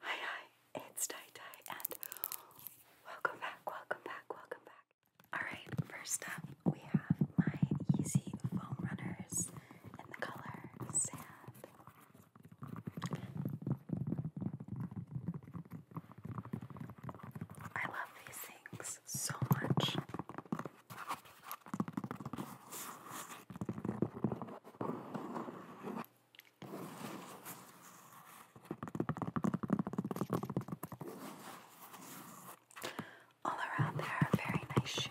Hi, it's Tai Tai, and welcome back, welcome back, welcome back. Alright, first up, we have my Yeezy Foam Runners in the color Sand. I love these things so much. All around there very nice shoe.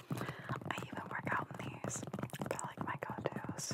I even work out in these. like my go-tos.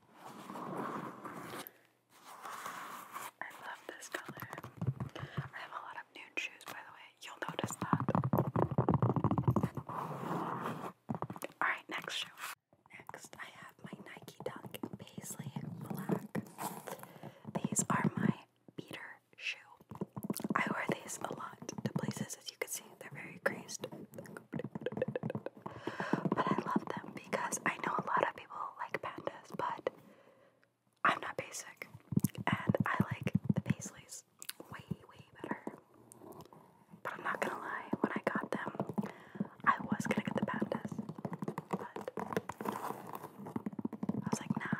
I love this color. I have a lot of nude shoes, by the way. You'll notice that. Alright, next shoe. Next, I have my Nike Dunk Paisley Black. These are my beater shoe. I wear these a lot to places, as you can see. They're very creased. But I love them because I know a lot of people like pandas, but I'm not basic. And I like the Paisleys way, way better. But I'm not gonna lie, when I got them, I was gonna get the pandas. But I was like, nah.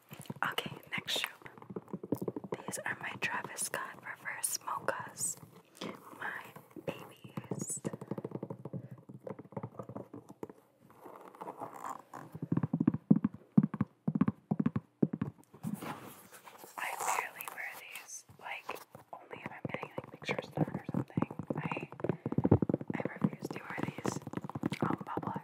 Okay, next shoe. These are my Travis Scott reverse mochas. My babies. I barely wear these, like only if I'm getting like pictures done or something. I I refuse to wear these on um, public.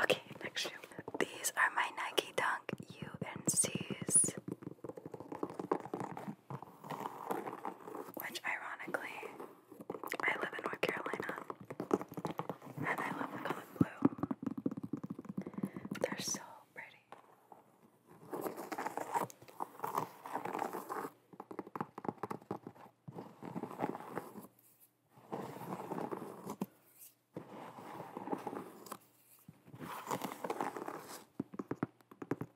Okay, next shoe. These are my Nike Dunk UNCs. Which, ironically, I live in North Carolina and I love the color blue. They're so pretty.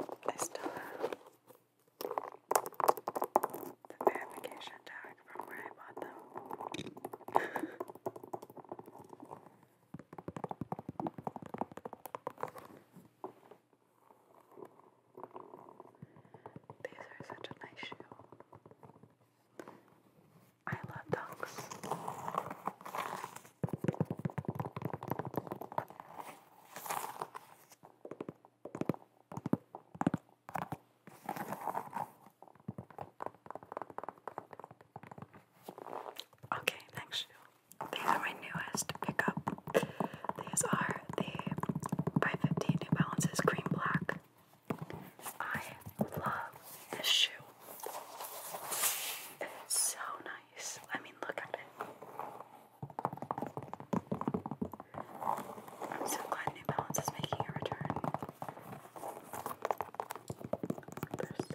I still have the verification tag from where I bought them. These are such a nice shoe. I love dunks. Okay, next These are my newest pickup. These are the by New Balances Cream Black. I love this shoe. It's so nice. I mean, look at it. I'm so glad New Balance is making a return. they nice.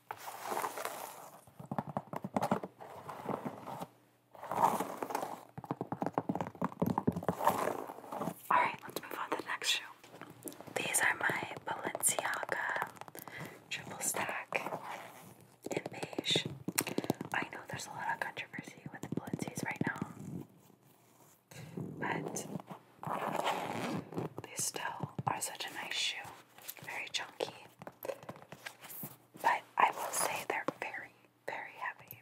Alright, let's move on to the next shoe. These are my Balenciaga triple stack in beige. I know there's a lot of controversy with the Balenci's right now, but they still are such a nice shoe very chunky. But I will say they're very, very heavy.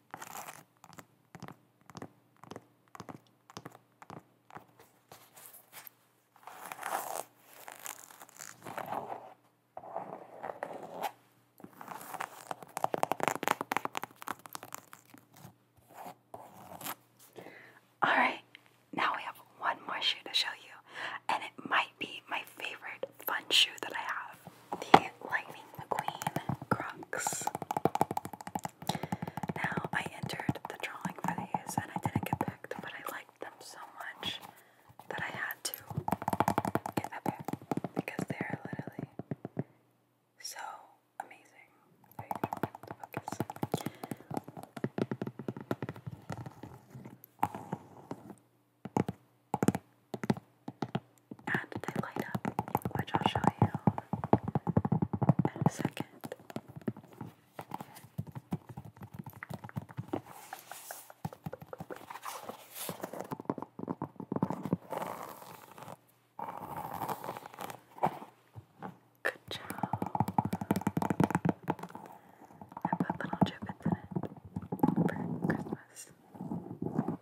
All right, now we have one more shoe to show you, and it might be my favorite fun shoe that I have the Lightning McQueen Crocs. Now, I entered the drawing for these and I didn't get picked, but I liked them so much that I had to get a pair because they're literally so amazing. And they light up, which I'll show you in a second. Good job. I put little gibbets in it for Christmas.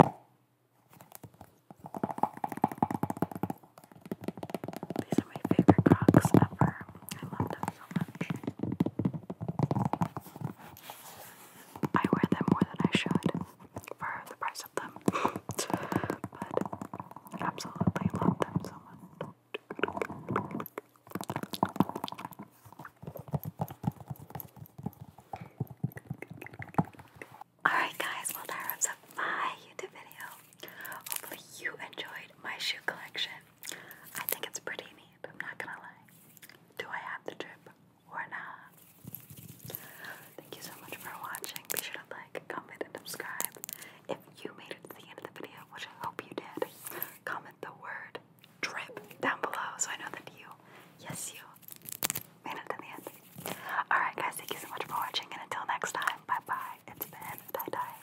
These are my favorite Crocs ever. I love them so much. I wear them more than I should for the price of them. but absolutely love them so much. Alright, guys, well, that wraps up my YouTube video. Hopefully, you enjoyed my shoe collection. I think it's pretty neat, I'm not gonna lie. Do I have the drip or not? Thank you so much for watching. Be sure to like, comment, and subscribe. If you made it to the end of the video, which I hope you did, comment the word drip down below so I know that you, yes, you Alright, guys, thank you so much for watching, and until next time, bye bye. It's been Tie Dye.